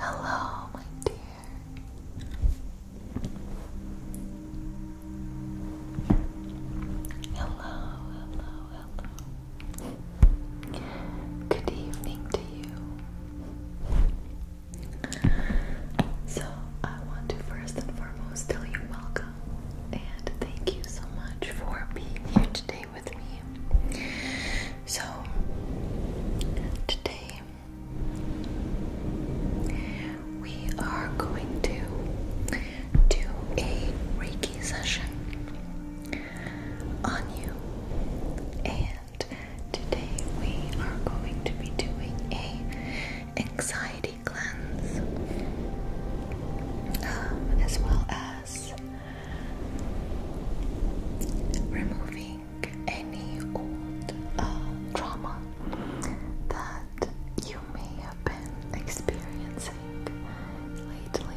Hello, my dear. Hello, hello, hello. Good evening to you. So, I want to first and foremost tell you welcome and thank you so much for being here today with me. So, today we are going to do a Reiki session on you. And today we are going to be doing a anxiety cleanse, um, as well as removing any old uh, trauma that you may have been experiencing lately.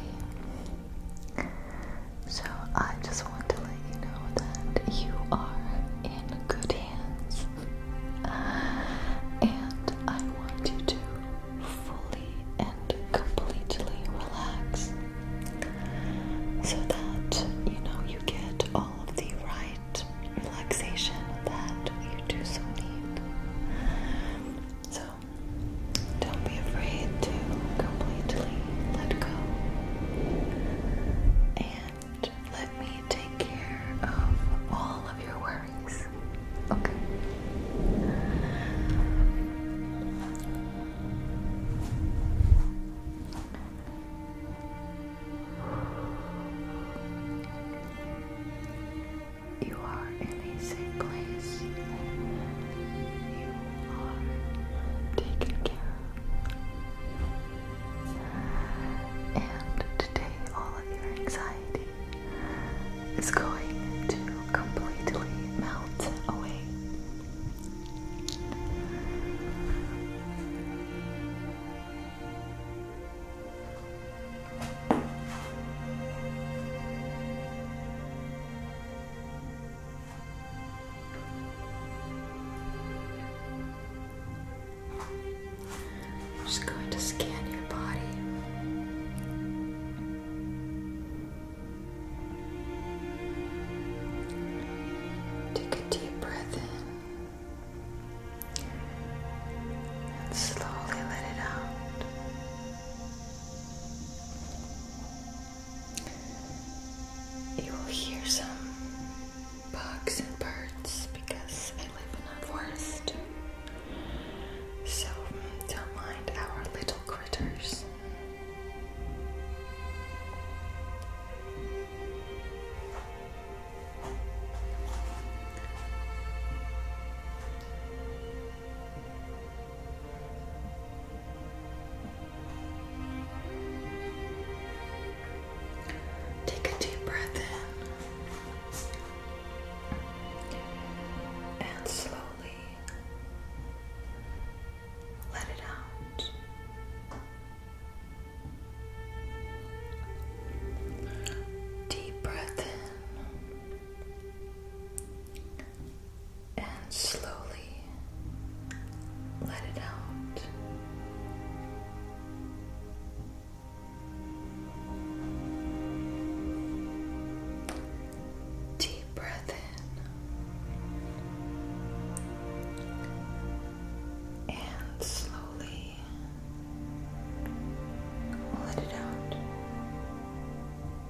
So I just want to let you know that you are in good hands. And I want you to fully and completely relax so that you know you get all of the right relaxation that you do so need. So don't be afraid to completely let go. And let me take care of all of your worries. Okay. You are Amazing place. You are taken care of. And today, all of your anxiety is going to completely melt away. I'm just going to scan your body. Take a deep breath in and slowly let it out. You will hear some bugs and birds because I live in a forest. So don't mind our little critters. Take a deep breath in and slowly let it out. Deep breath in and slowly let it out. Deep breath in and slowly let it out.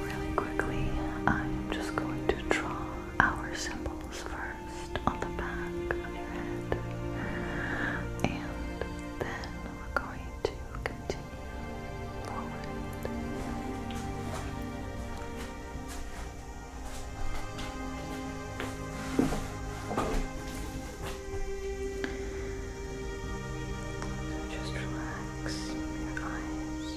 Really quickly, I'm just going to draw our symbols first on the back of your head, and then we're going to continue forward. So just relax your eyes.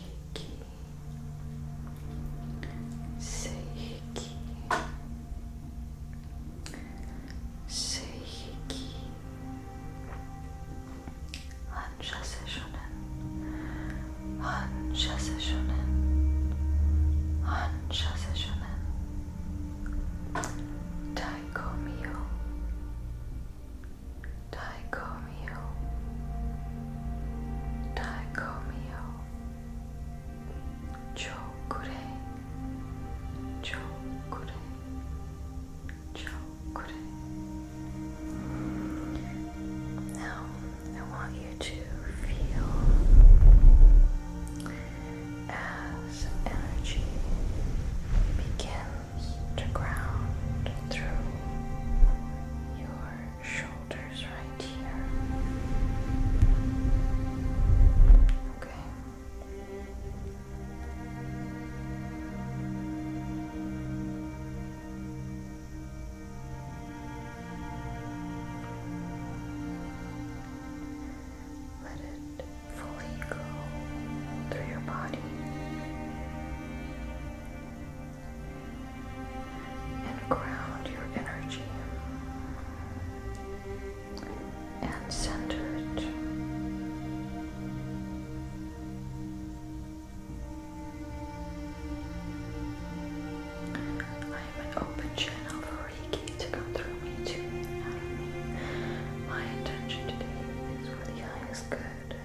Seiki. Seiki. Seiki. Hansha Sessionen. Hansha Sessionen. Hansha Sessionen. Taiko Mio. Dicomio, Dicomio, Chokure, Chokure, Chokure. Now, I want you to feel as energy begins. To ground through your shoulders right here. Okay. Let it fully go through your body and ground your energy and center it. I am an open channel for Reiki to come through me to me me. My intention today is for the highest good.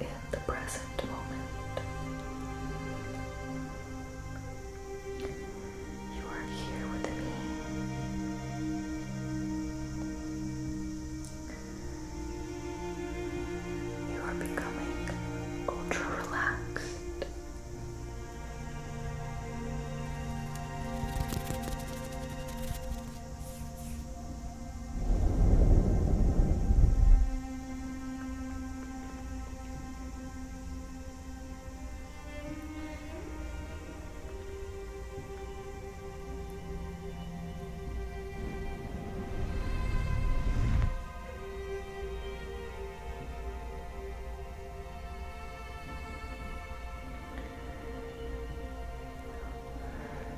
You are now the present moment. You are here with me. You are becoming ultra relaxed.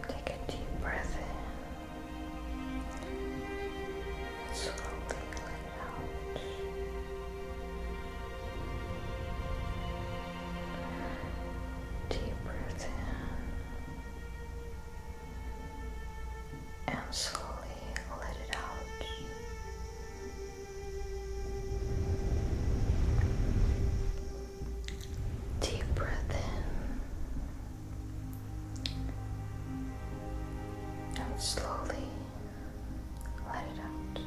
Take a deep breath Slowly let out. Deep breath in and slowly let it out. Deep breath in and slowly let it out.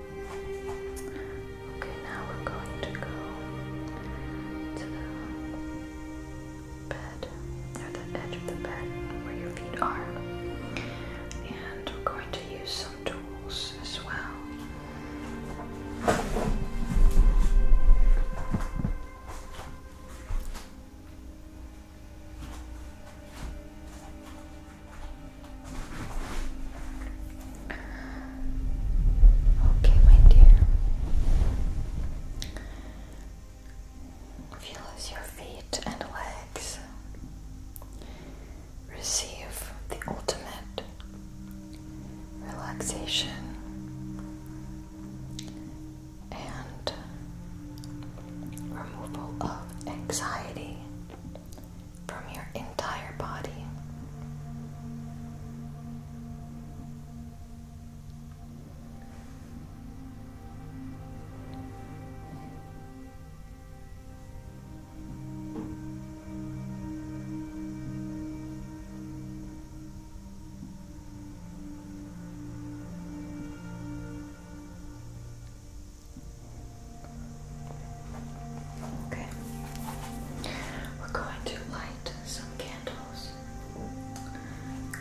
Okay, now we're going to go to the bed, or the edge of the bed where your feet are. And we're going to use some tools as well. Okay, my dear. Feel as your feet and legs receive the ultimate relaxation and removal of anxiety from your entire body. Okay. We're going to light some candles.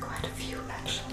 Quite a few, actually.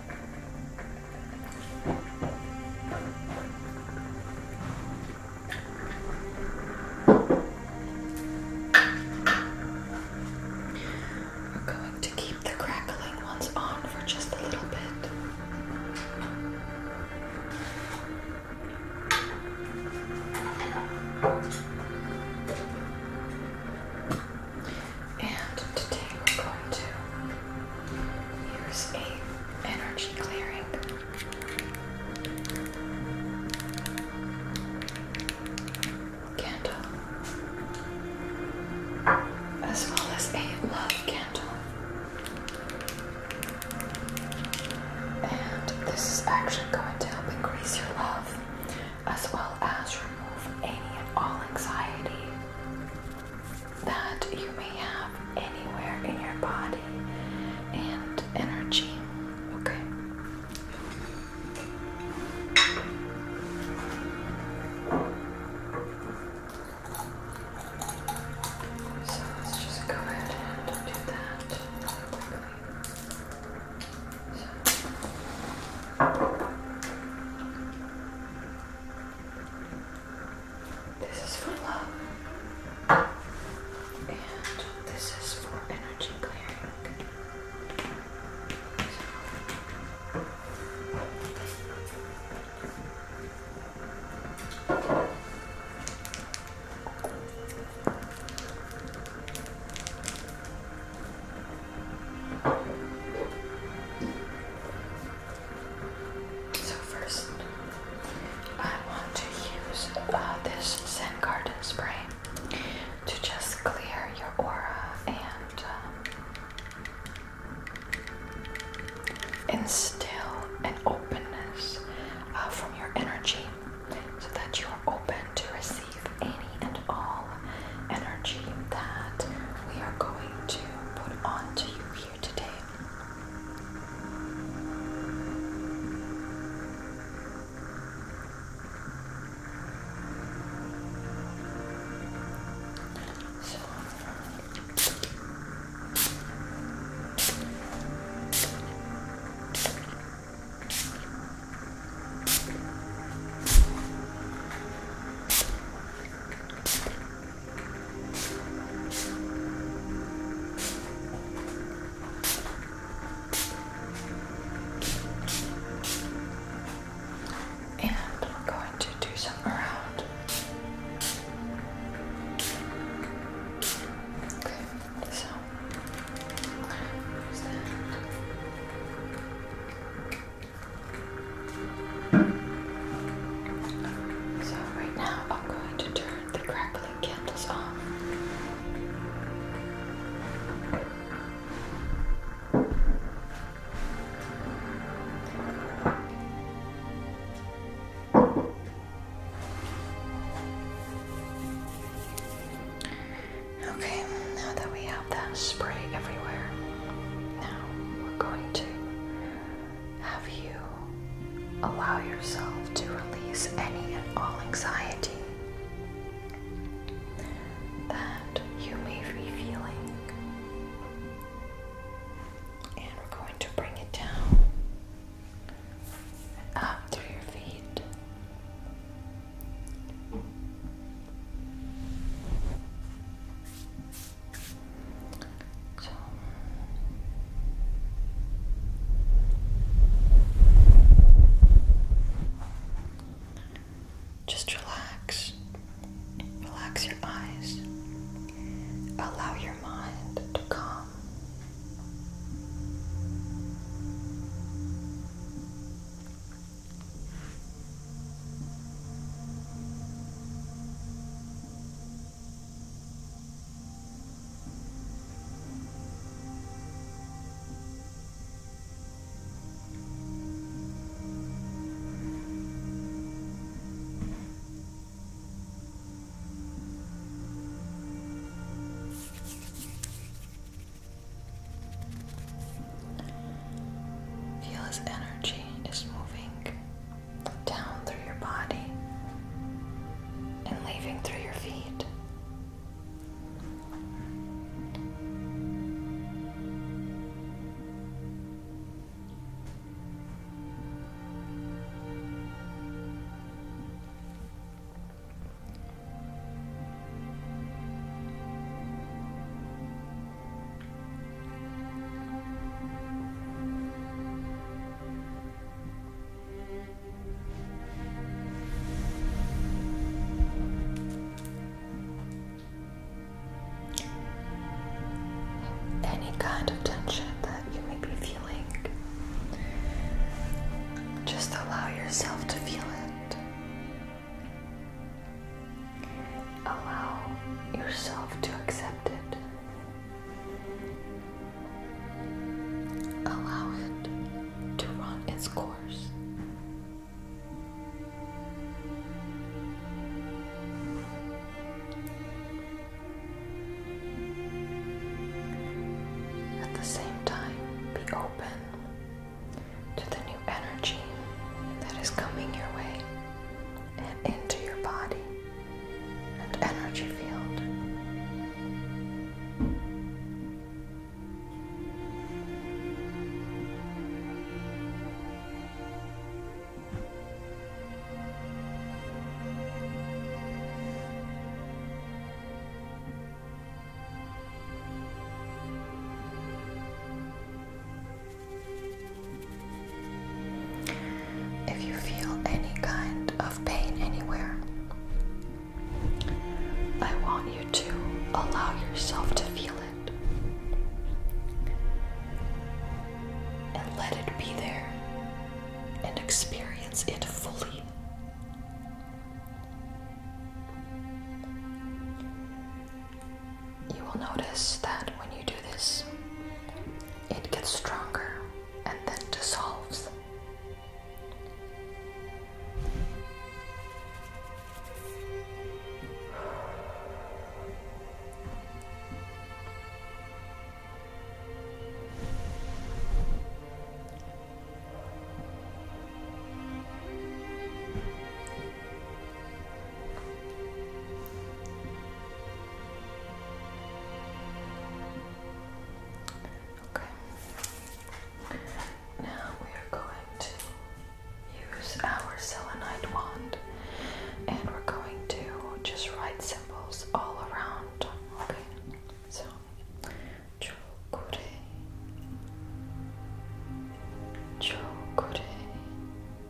We're going to keep the crackling ones on for just a little bit. And today we're going to Use a energy clearing. Candle, as well as a love candle, and this is actually going to help increase your love, as well as remove any and all anxiety that you may have anywhere in your body and energy. Okay. So let's just go ahead and do that quickly. This is for love. And this is for energy clearing. So first, I want to use uh, this Zen Garden spray to just clear your aura and uh, instill an openness uh, from your energy so that you are open to receive any and all energy that we are going to put onto you here here today. So, and we're going to do some around. Okay, so so, right now, I'm going to turn the crackling candles off. Okay, now that we have that spray everywhere, now we're going to have you allow yourself to release any and all anxiety that you may be feeling. And we're going to bring it down through your feet. Just relax. Relax your eyes. Allow your mind to calm. Feel his energy is moving down through your body and leaving through your feet. Any kind of tension that you may be feeling, just allow yourself to feel it. Allow yourself to accept it. Allow it to run its course. At the same time, be open to the new energy that is coming your way and into your body and energy field. If you feel any kind of pain anywhere, I want you to allow yourself to feel it and let it be there and experience it fully. You will notice that when you do this, it gets stronger and then dissolves. Okay. Now we are going to use our selenite wand and we're going to just write symbols all around. Okay. So Chokure. Chokure.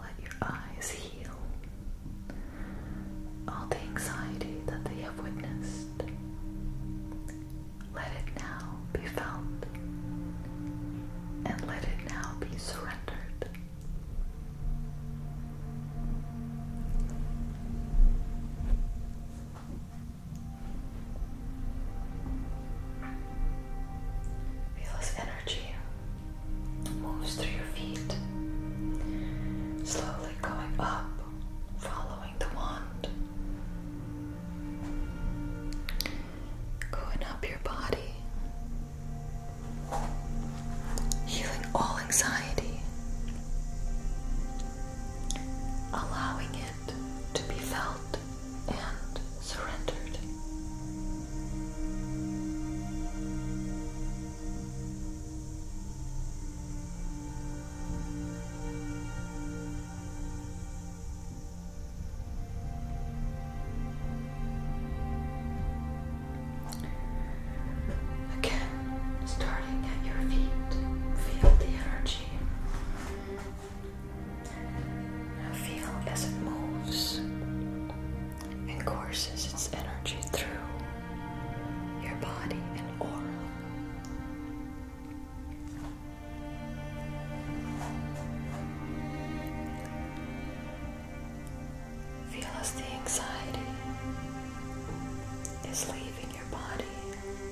Let your eyes heal all the anxiety that they have witnessed. Let it now be felt and let it now be surrendered. Feel this energy moves through your feet, slowly going up, following the wand, going up your body, healing all anxiety, allowing it to be felt and surrendered. Again, starting at your feet, feel the energy Feel as it moves and courses its energy through your body and aura. Feel as the anxiety is leaving your body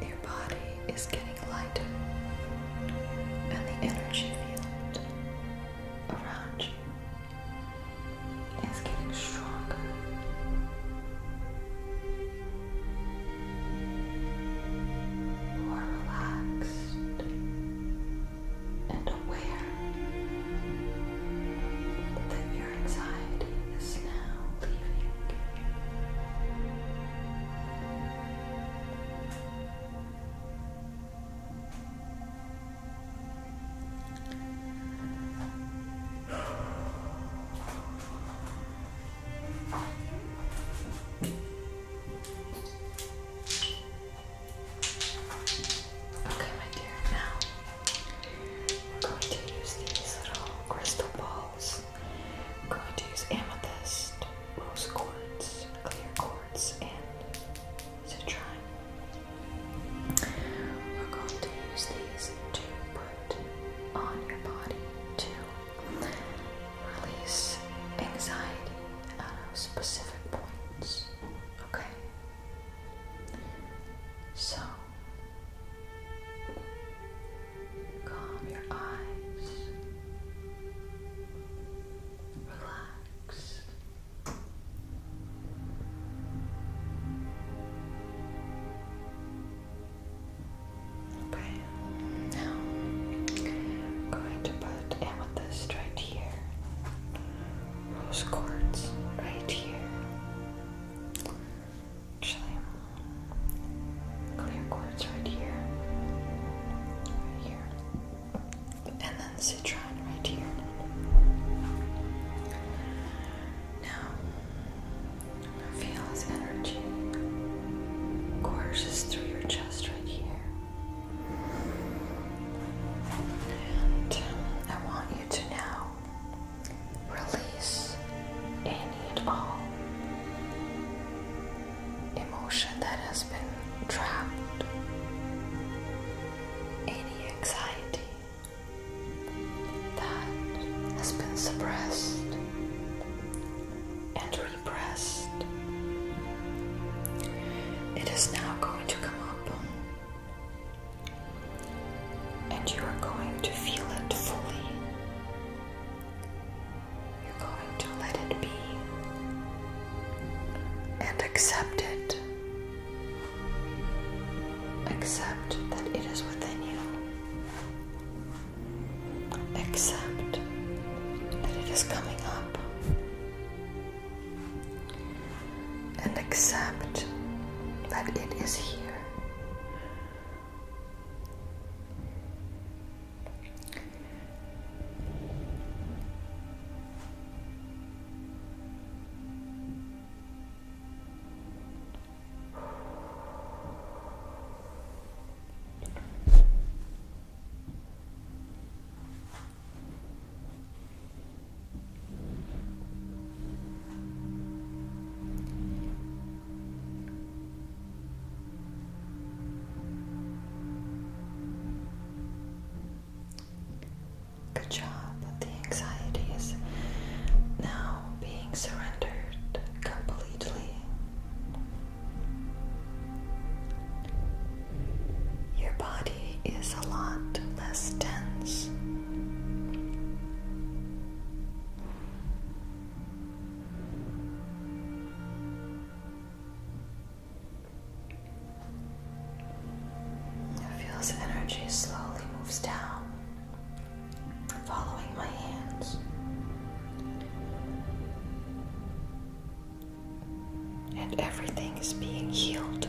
Your body is getting lighter, and the energy field around you is getting stronger. More relaxed, and aware that your anxiety is now leaving. Okay, my dear, now we're going to use these little crystal balls. We're going to use amethyst, rose quartz, clear quartz, and citrine. We're going to use these to put on your body to release anxiety at specific points. Okay? So, calm your eyes, relax. Okay, now I'm going to put this right here, rose quartz right here, actually, clear quartz right here, right here, and then citrine right here. Now, feel his energy courses through your chest right here. And I want you to now release any and all emotion that has been trapped, any anxiety that has been suppressed, and impressed. It is now going to come up, and you are going to feel it fully. You're going to let it be and accept it. Accept that it is within you. Accept that it is coming up and accept that it is here. Good job. The anxiety is now being surrendered completely. Your body is a lot less tense. It feels energy slowly moves down, following my hands and everything is being healed.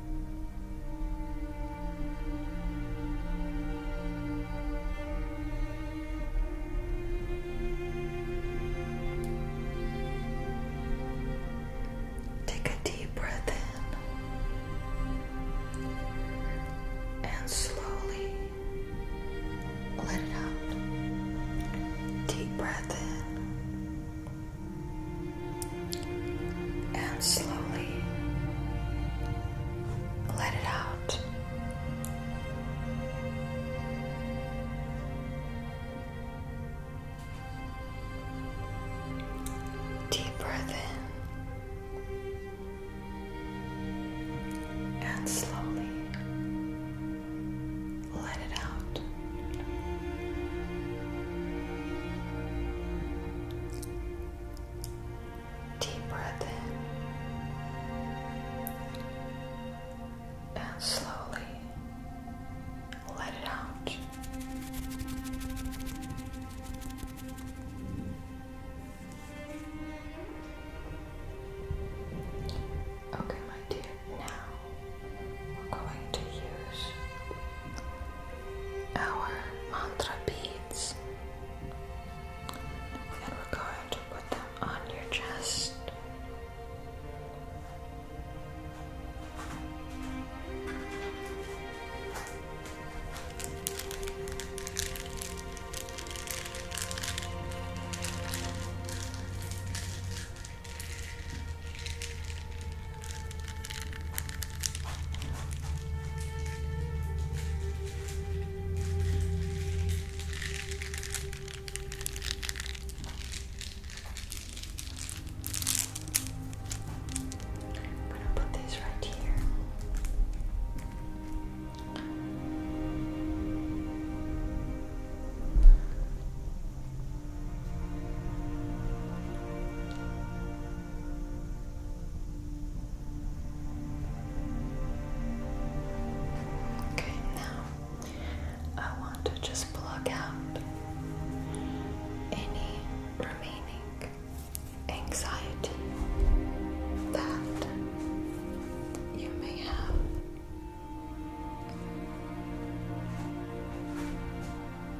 Take a deep breath in and slowly let it out. Deep breath in and slowly let it out. Deep breath in and slowly let it out. Deep breath in and slowly let it out. Okay, my dear, now we're going to use our mantra beads and we're going to put them on your chest. I'm gonna put these right here. Okay, now I want to just block out any remaining anxiety that you may have.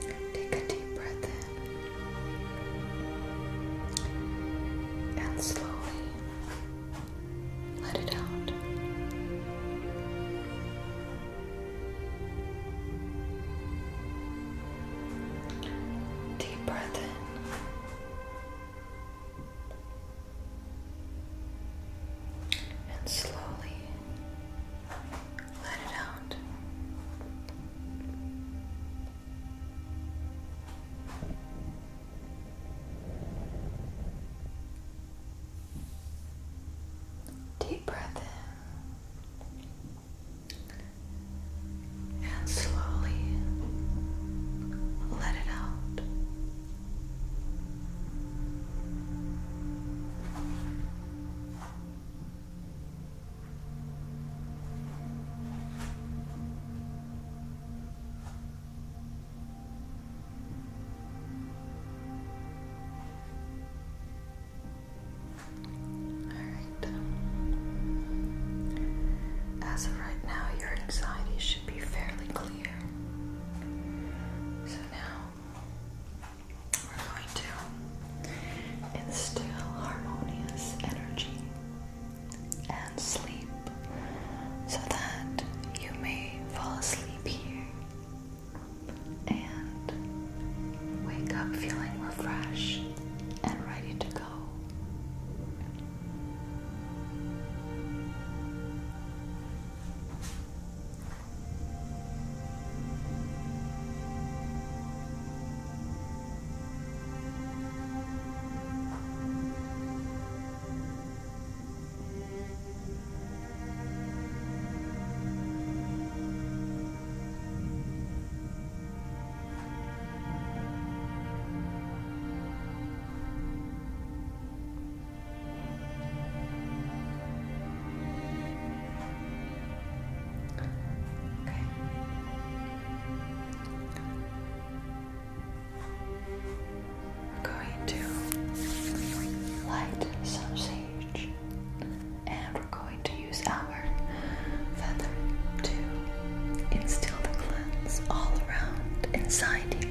Take a deep breath in and slowly let it out. Deep breath in and slowly let it out. Deep breath in and slowly let it out. As of right now, your anxiety should be fairly clear. So now we're going to instill harmonious energy and sleep so that you may fall asleep here and Wake up feeling refreshed and ready to go. Okay. We're going to light some sage and we're going to use our feather to instill the cleanse all around inside you.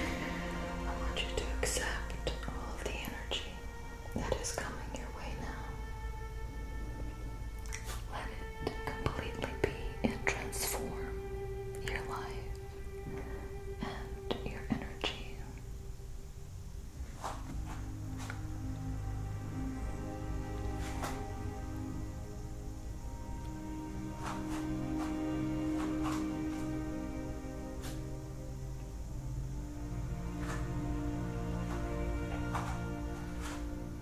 I want you to accept all of the energy that is coming your way now. Let it to completely be and transform your life and your energy.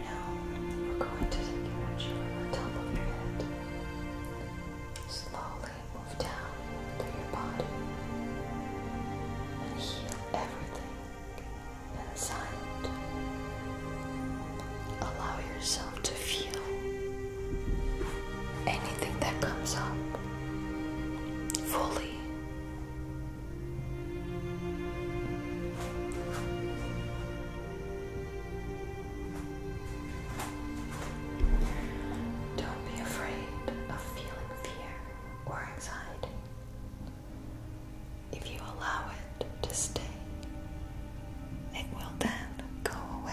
Now we're going to take your on the top of your head slowly move down through your body and heal everything inside. Allow yourself to feel anything that comes up fully. Don't be afraid of feeling fear fear or anxiety. If you allow it to stay, it will then go away.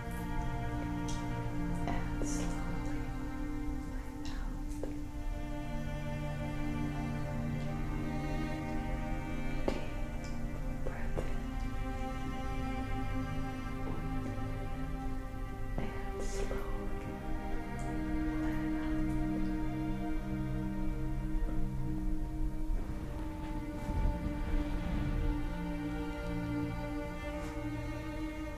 and slowly let out. Deep breath in and slowly let out and your body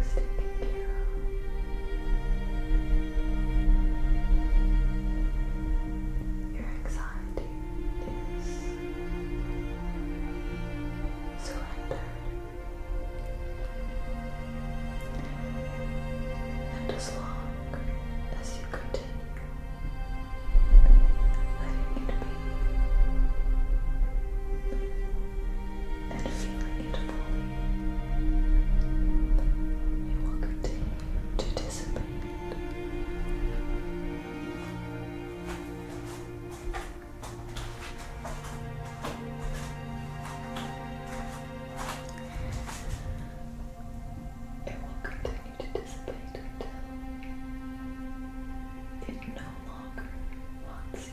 is taken care of. Your anxiety is surrendered. And as long as you continue letting it be and feeling it fully, it will continue to dissipate. It will continue to dissipate until it no longer wants you.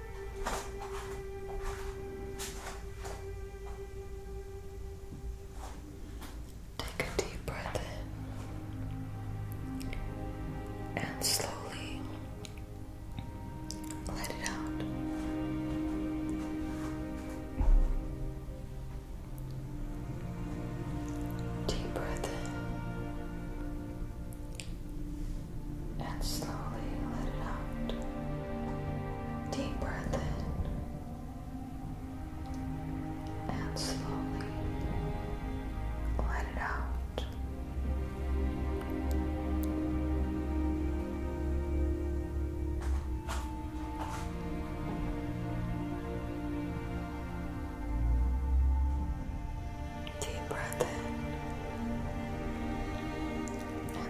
Take a deep breath in and slowly let it out. Deep breath in and slowly let it out. Deep breath in and slowly let it out. Deep breath in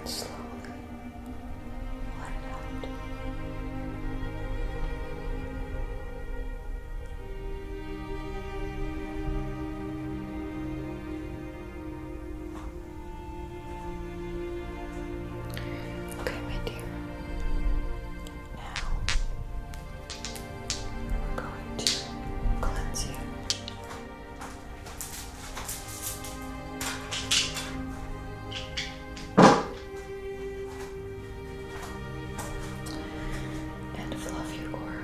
slowly Okay, my dear. Now we're going to cleanse you and love you, aura.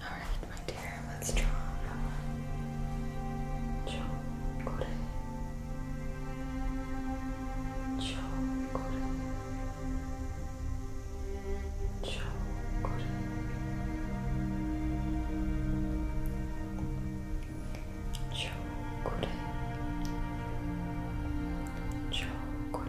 Alright, my dear, let's draw another. Chocolate. Chocolate. Chocolate. Chocolate. Chocolate. Chocolate.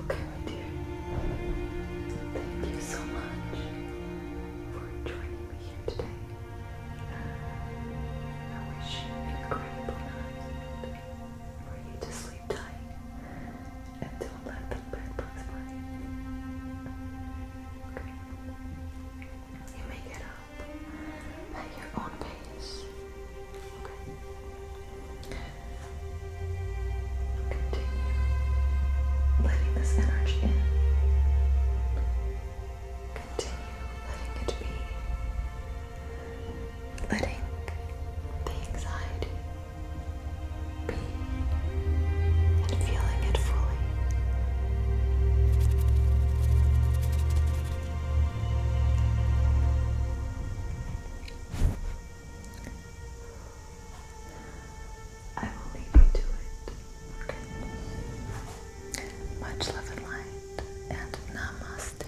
Okay, my dear. Thank you so much for joining me here today. I wish you an incredible night for you to sleep tight and don't let the bed bite Okay. You may get up at your own pace. Okay. Continue letting this energy in. Continue letting it be letting the anxiety be and feeling it fully. I will leave you to it. Much love and light, and namaste.